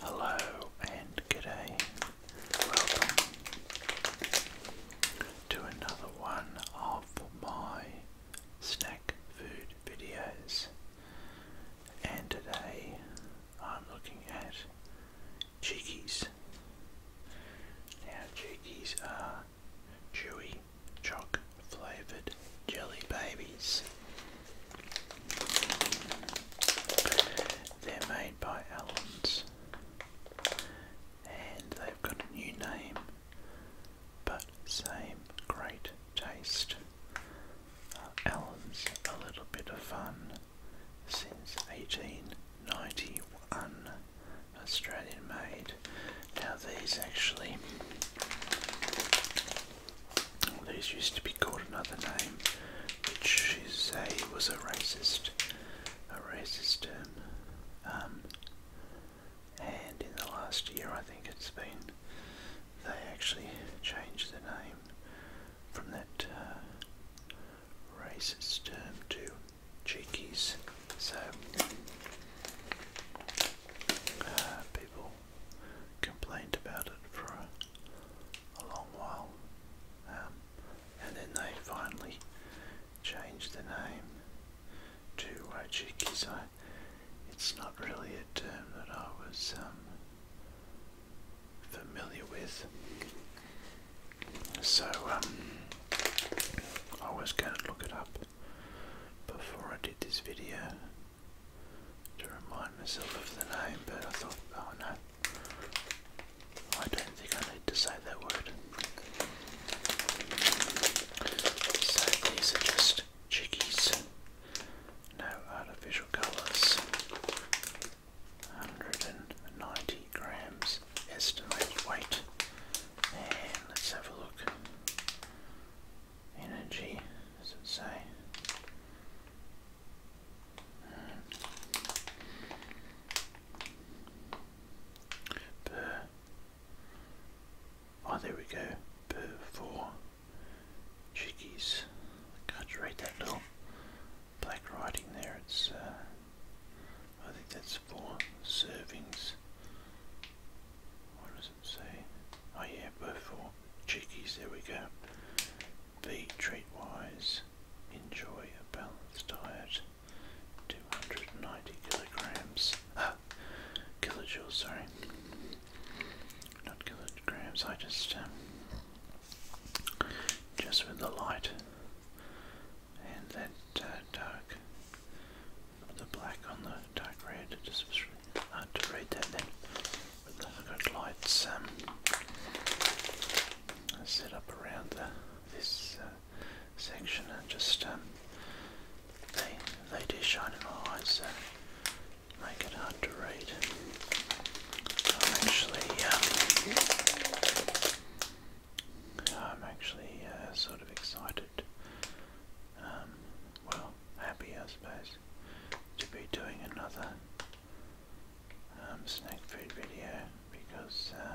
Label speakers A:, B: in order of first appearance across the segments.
A: Hello and good Welcome to another one of my snack food videos. And today I'm looking at cheekies. Now cheekies are chewy choc flavoured jelly babies. They're made by Allen's and they've got a new name but same great taste. Uh, Allen's a little bit of fun since 1891 Australian made. Now these actually these used to be called another name, which is say was a racist, a racist term. Um, and in the last year, I think it's been they actually changed the name from that uh, racist term to cheekies. So uh, people complained about it for a, long while, um, and then they finally changed the name to Wojcicki. it's not really a term that I was um, familiar with. So um, I was going to look it up before I did this video to remind myself of the name, but I thought, oh no, I don't think I need to say that word. So these are just chickies, no artificial colours. 190 grams estimated weight. And let's have a look. Energy, does it say? Per. Oh, there we go. Per four chickies. can't read that little black writing there. It's, uh, I think that's four servings. What is doesn't say. Oh yeah, both for chickies, there we go. Be treat wise, enjoy a balanced diet. 290 kilograms. Ah, kilojoules, sorry. Not kilograms, I just, um, just with the light and that uh, dark, the black on the dark red, I had to read that then. With the good lights um, set up around this uh, section and just um, they, they do shine in my eyes, so make it hard to read. I'm actually, um, I'm actually uh, sort of excited. well, happy, I suppose, to be doing another um, snack food video because, uh,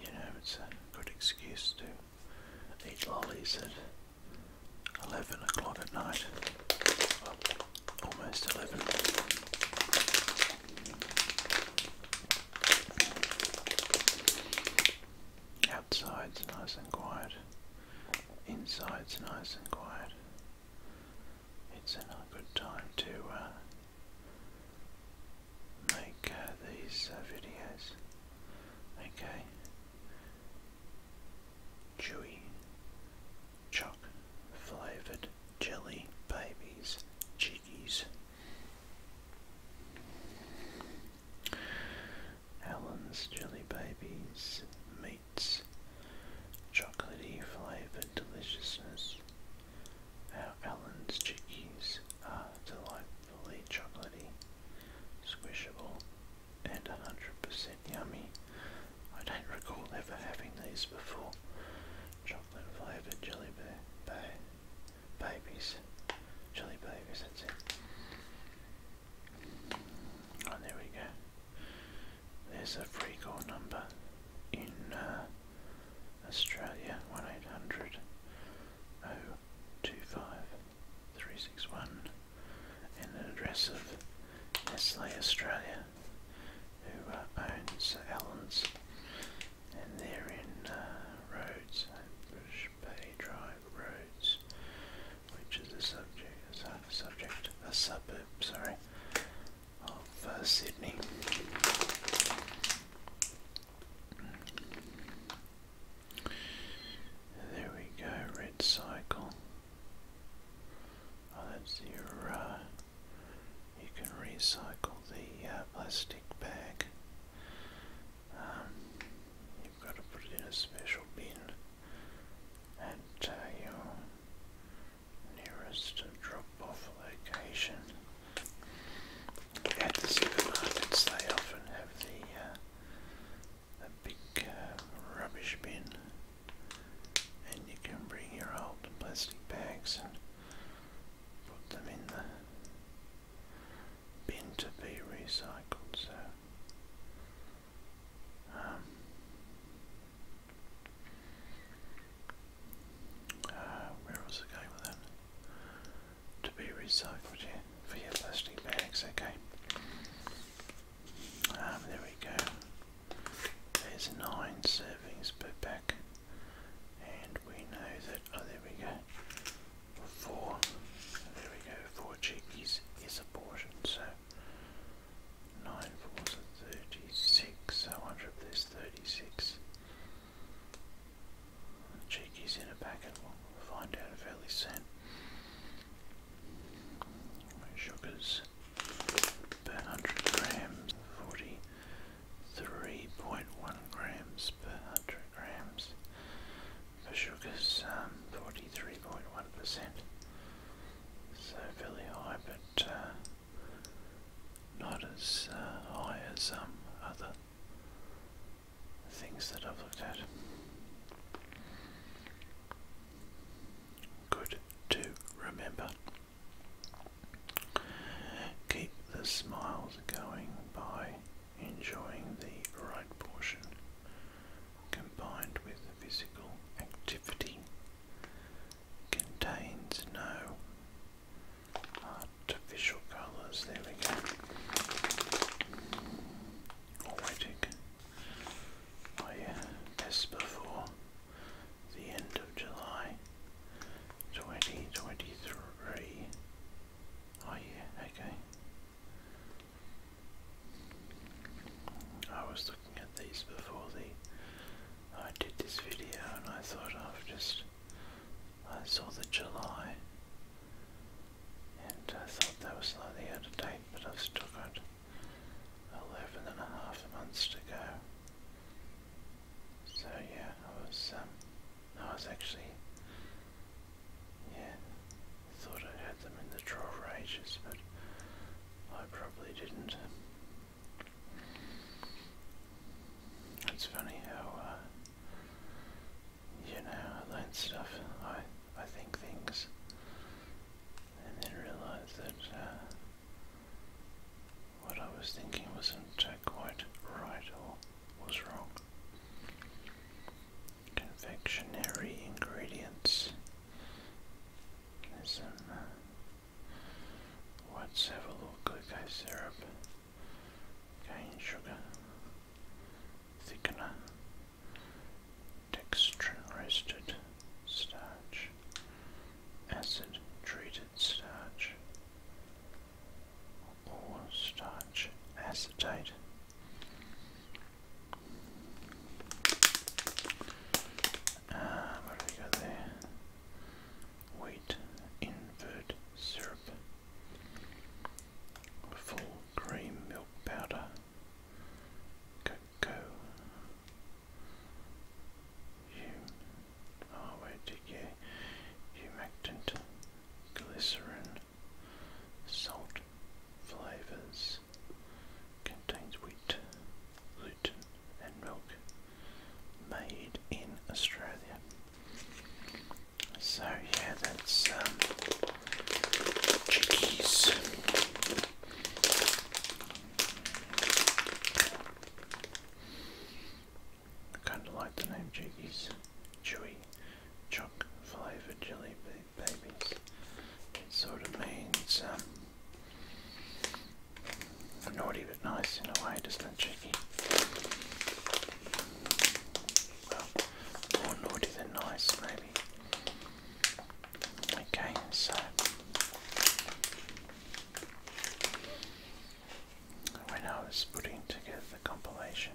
A: you know, it's a good excuse to eat lollies at 11 o'clock at night. almost 11. Outside's nice and quiet. Inside's nice and quiet. It's a good time to uh, make uh, these uh, videos. Okay. Chewy Choc Flavoured Jelly Babies Chickies. Allen's Jelly Babies Meat sweets, chocolatey flavored deliciousness. Our Allen's chickies are delightfully chocolatey, squishable, and 100% yummy. I don't recall ever having these before. Chocolate flavored jelly bear ba babies. Jelly babies, that's it. Oh, there we go. There's a free call number in uh, Australia, 1800 025 and an address of Nestle Australia who uh, owns Allen's and they're in Roads uh, Rhodes, Bush Bay Drive Roads which is a subject, a subject, a suburb, sorry, of uh, Sydney. There we go, red Oh, that's your, uh, you can recycle the uh, plastic bag. Um, you've got to put it in a special bin at uh, your nearest drop-off location. At the supermarkets, they often have the uh, big um, rubbish bin, and you can bring your old plastic bags and put them in the bin to be recycled. So um, uh, where was I going with that? To be recycled yeah, for your plastic bags, okay. Um, there we go. There's nine servings per pack, and we know that. Oh, there we go. Four. There we go. Four cheekies is a portion. So Nine fours are thirty-six. I wonder if there's thirty-six. Cheeky's in a packet. We'll find out fairly soon. Sugars per hundred grams, forty-three point one grams per hundred grams for sugar's um, 43.1%, so fairly high, but uh, not as uh, high as some other things that I've looked at. Good to remember. Keep the smiles going by enjoying the right portion combined with physical activity contains no artificial colours. There we go. Already by uh, as before the end of July 2023. Oh okay. I was looking at these before the I did this video and I thought I've just I saw the July and I thought that was slightly out of date but I've still got 11 and a half months to go so yeah I was um I was actually yeah Thought I had them in the drawer for ages, but I probably didn't. It's funny how, uh, you know, I learn stuff, I, I think things, and then realise that uh, what I was thinking wasn't uh, quite right or was wrong confectionery ingredients. There's some. Uh, let's have a little glucose syrup, cane sugar, thickener, dextrin roasted starch, acid treated starch, or starch acetate. Uh, um, where do we go there? Wheat, invert syrup, full cream milk powder, cocoa. Hum oh wait did yeah humectant glycerin salt flavors contains wheat, gluten, and milk made in Australia. So yeah, that's um, I kind of like the name Jiggies. Chewy, choc flavoured jelly beans babies. It sort of means, um, naughty but nice in a way, doesn't it, Chicky? Well, more naughty than nice, maybe. Okay, so when I was putting together the compilation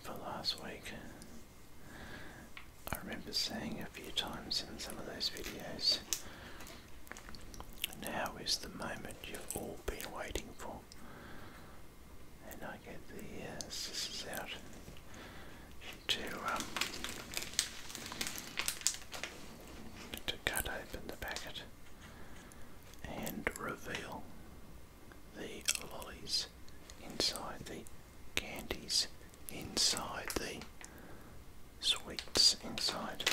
A: for last week, I remember saying a few times in some of those videos. Now is the moment you've all been waiting for. And I get the uh, scissors out to, um, to cut open the packet and reveal the lollies inside the candies inside the sweets inside.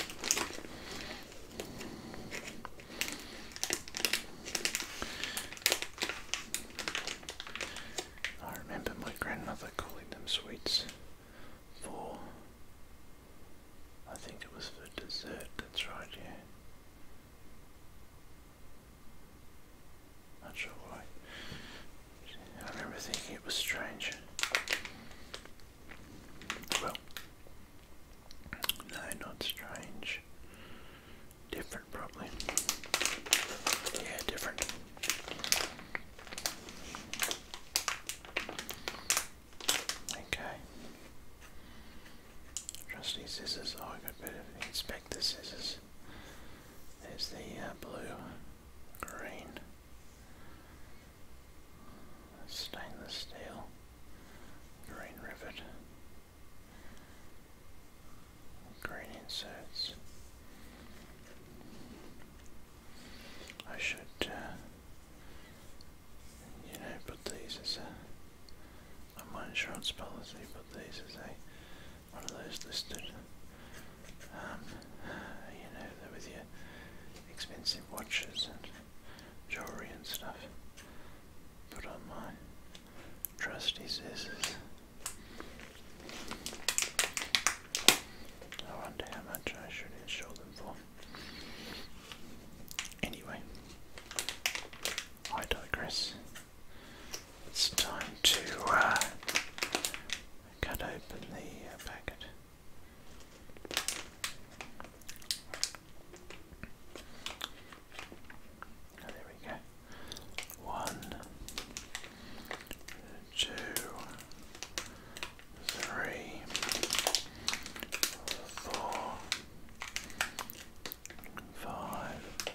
A: I remember my grandmother calling them sweets for, I think it was for dessert, that's right, yeah. Not sure why. I remember thinking it was strange. Well, no, not strange. Different, probably. Yeah, different. Okay. Trusty scissors. Oh, I got better inspect the scissors. There's the uh, blue, green, stainless steel, green rivet, green inserts. I should, uh, you know, put these as a, my insurance policy, put these as a one of those listed. Um, you know, with your expensive watches and jewelry and stuff. Put on my trusty scissors. I wonder how much I should insure them for. Anyway, I digress. It's time to uh, cut open the uh, packet. there we go. One, two, three, four, five,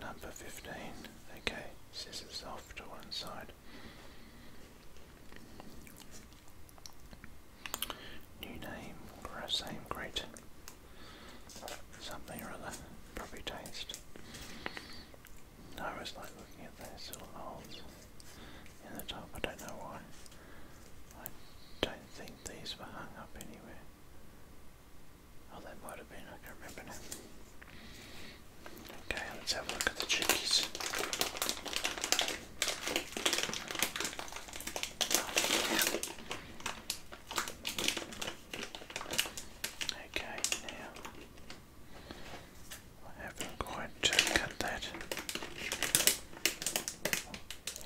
A: number 15. Okay, scissors off to one side. New name, same great. Something or other, probably taste. I always like looking at those little holes in the top, I don't know why. I don't think these were hung up anywhere. Oh, that might have been, I can't remember now. Okay, let's have a look at the chickies. Okay, now I haven't quite uh,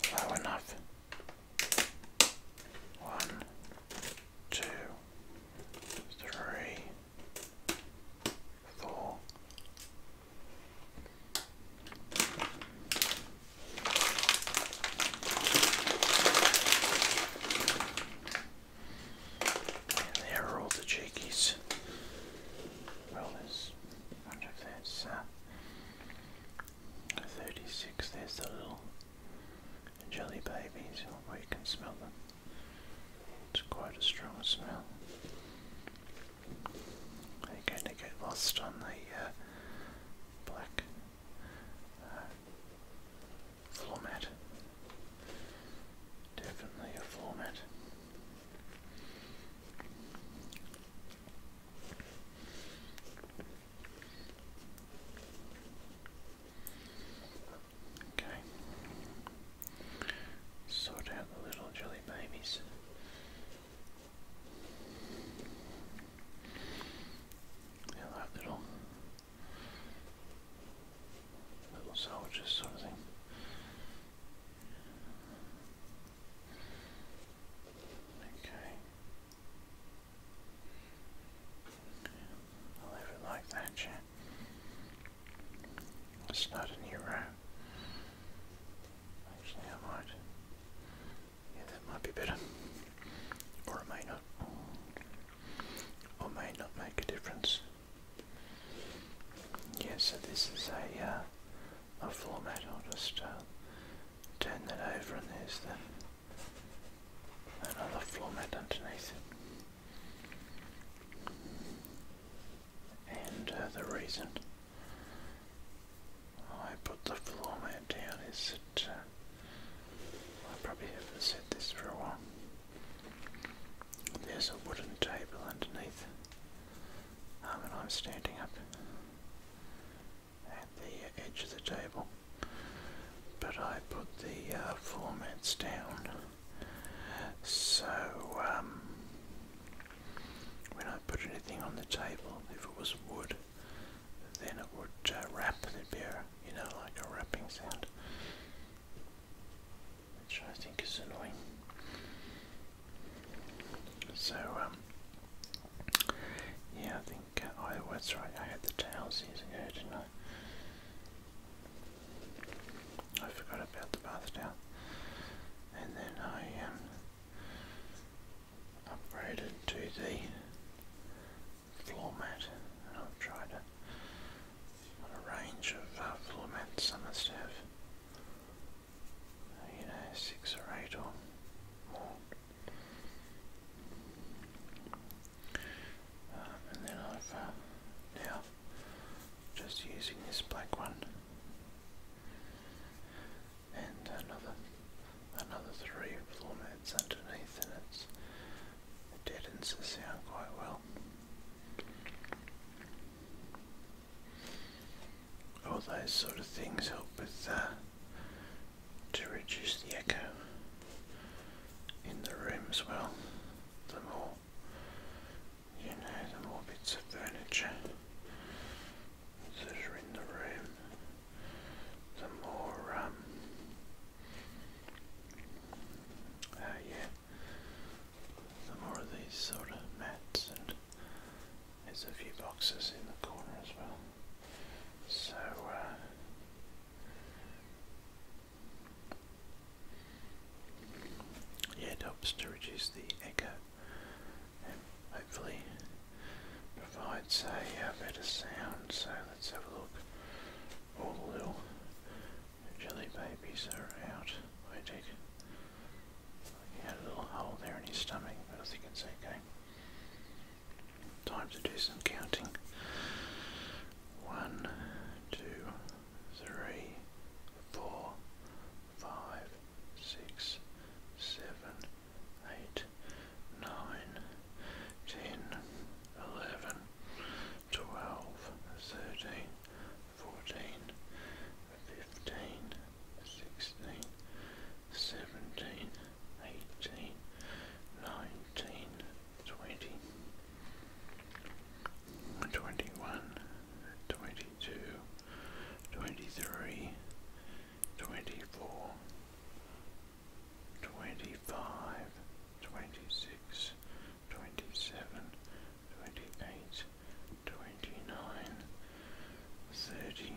A: that low enough. One, two, three, four. there are all the cheekies. Well, there's, wonder if that's uh, 36, there's the little jelly babies, oh, where you can smell them. It's quite a strong smell. They're going to get lost on the uh, black uh, floor mat. Definitely a floor mat. Okay. Sort out the little jelly babies. They're like little little soldiers sort of thing. Okay. I leave it like that, yeah. It's not a new row. Actually, I might. Yeah, that might be better. Or it may not. Or may not make a difference. Yeah, so this is a, uh, a format. I'll just uh, turn that over and there's the another floor mat underneath it. And uh, the reason I put the floor mat down is that uh, I probably haven't said this for a while. There's a wooden table underneath um, and I'm standing up at the edge of the table. But I put the uh, formats down. So um, when I put anything on the table, if it was wood, then it would uh, wrap. There'd be you know, like a wrapping sound, which I think is annoying. So um, yeah, I think think, oh that's right, I had the towels years ago, didn't I? I forgot about the bath towel. And then I um, upgraded to the floor mat and I've tried a, a range of uh, floor mats, some must have, you know, six or eight or um, and then I've um, now just using this black one and another another three floor mats underneath and it's it deadens the sound quite well. All those sort of things help with uh, to reduce the echo in the room as well. The more you know, the more bits of furniture that are in the room, the more um, uh, yeah, the more of these sort of mats and there's a few boxes in the corner as well. So, uh, yeah, it helps to reduce the echo and hopefully provides a, uh, better sound. So, let's have a look. All the little jelly babies are out, I think. He had a little hole there in his stomach, but I think it's okay. Time to do some counting. One, two, three, four, five, six, seven, eight, nine, ten, eleven, twelve, thirteen, fourteen, fifteen, sixteen, seventeen eighteen, nineteen, twenty, twenty-one, twenty-two, twenty-three, twenty-four, twenty-five, twenty-six, twenty-seven, twenty-eight, twenty-nine, thirty,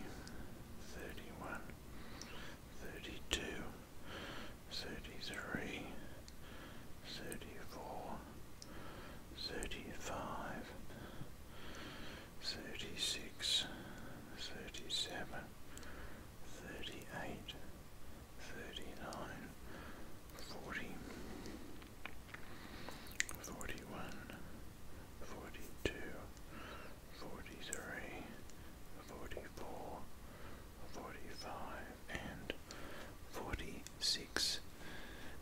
A: thirty-one, 32, 33, 34, 35, 36, 37, 38, 39, 40, 41, 42, 43, 44, 45, and 46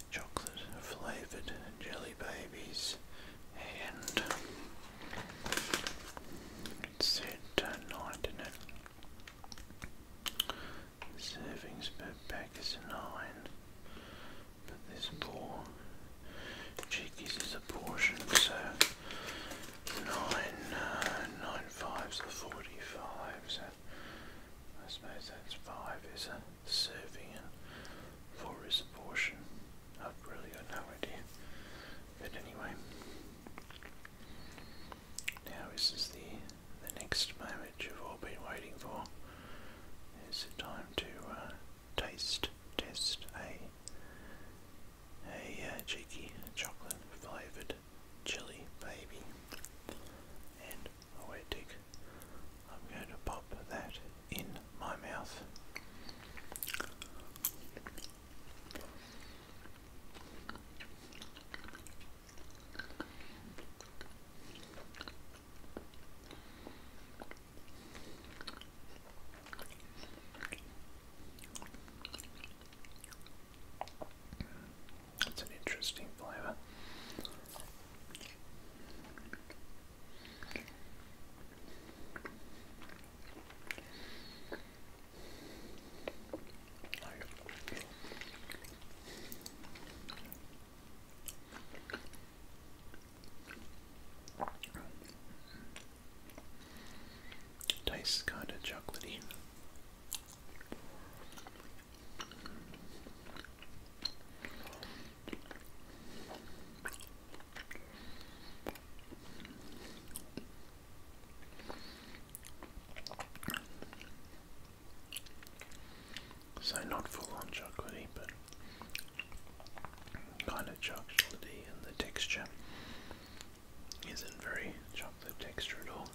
A: chocolate flavoured jelly babies. And it said tonight in it. Servings per pack is 9, but there's 4 Cheekies is a portion, so nine uh, nine fives are forty five, so I suppose that's five is a serving and four is a portion. I've really got no idea. But anyway. Now this is the the next moment you've all been waiting for. It's time to uh, taste test a a uh, cheeky chocolate flavoured chili baby, and oh wait, dick, I'm going to pop that in my mouth. It's an interesting flavor. Tastes kind of chocolatey. So not full on chocolatey, but kind of chocolatey and the texture isn't very chocolate texture at all.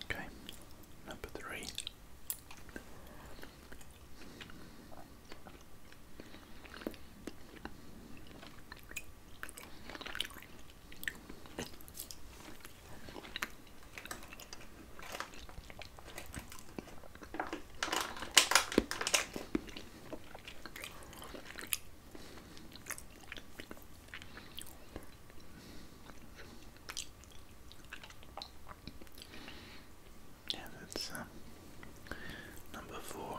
A: Okay, number three. Yeah, that's uh, number four.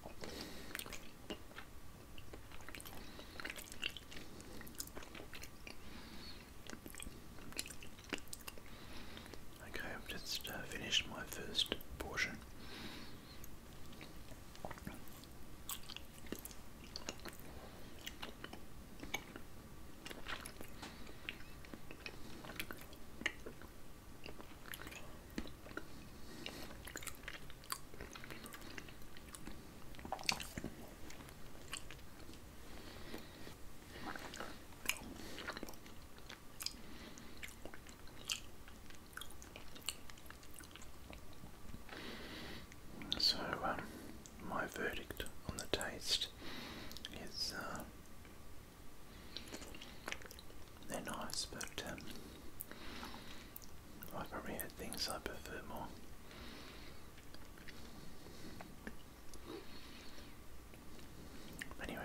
A: Okay, I've just uh, finished my first portion. So, um, my verdict on the taste is uh, they're nice, but um, I probably had things I prefer more. Anyway.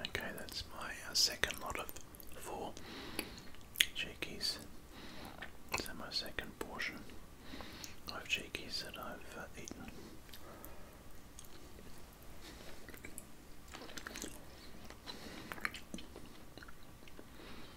A: Okay, that's my uh, second lot of four cheekies. So my second portion of cheekies that I've uh, eaten.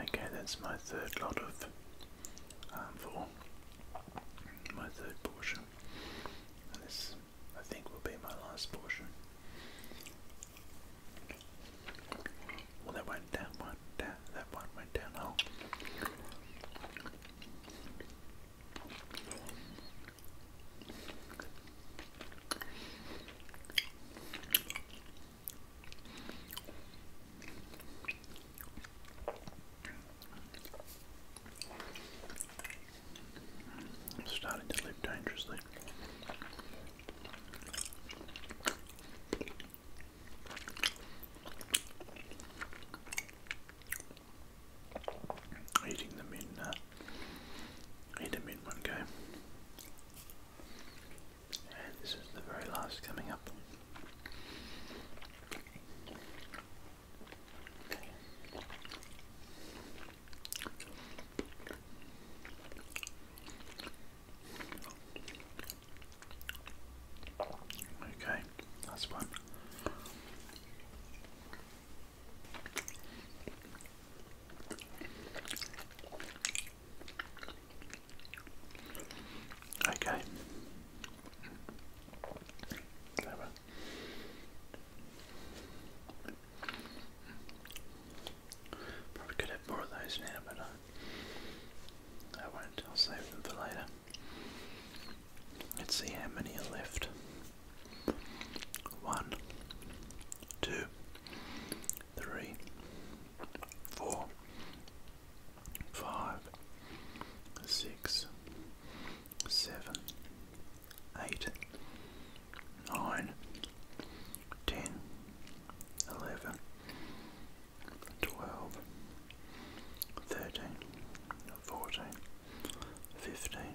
A: Okay, that's my third lot of um, My third portion. this, I think, will be my last portion. Well, that went down, one down, that one went down. Oh. I'm starting to live dangerously. Eating them in uh, Need to meet one game. this is the very last coming up. Okay, that's one. Okay. Probably could have more of those now, but I won't. I'll save them for later. Let's see how many are left. One, two, three, four, five, six, seven, eight, nine, ten, eleven, twelve, thirteen, fourteen, fifteen,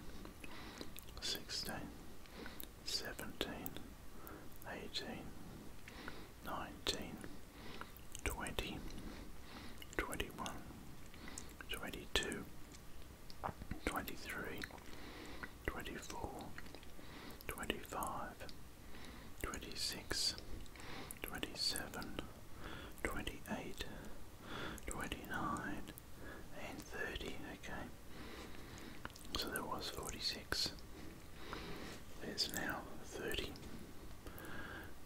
A: sixteen seventeen, eighteen, nineteen, twenty, twenty one, twenty two, twenty three, twenty four, twenty five, twenty six, twenty seven, twenty eight, twenty nine, and 30, okay. So there was 46. There's now 30.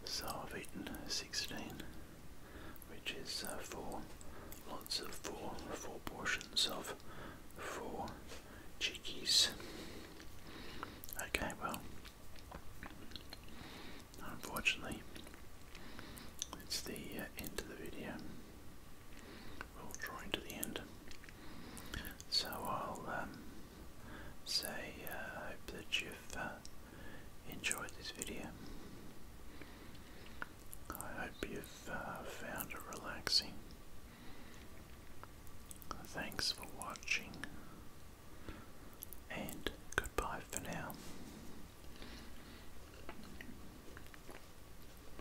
A: So I've eaten 16, which is uh, 4 lots of 4, 4 portions of 4 chickies. Okay, well, unfortunately, it's the uh, end of the video we drawing to the end. So I'll um, say uh, I hope that you've uh, enjoyed this video. I hope you've uh, found it relaxing. Thanks for watching and goodbye for now.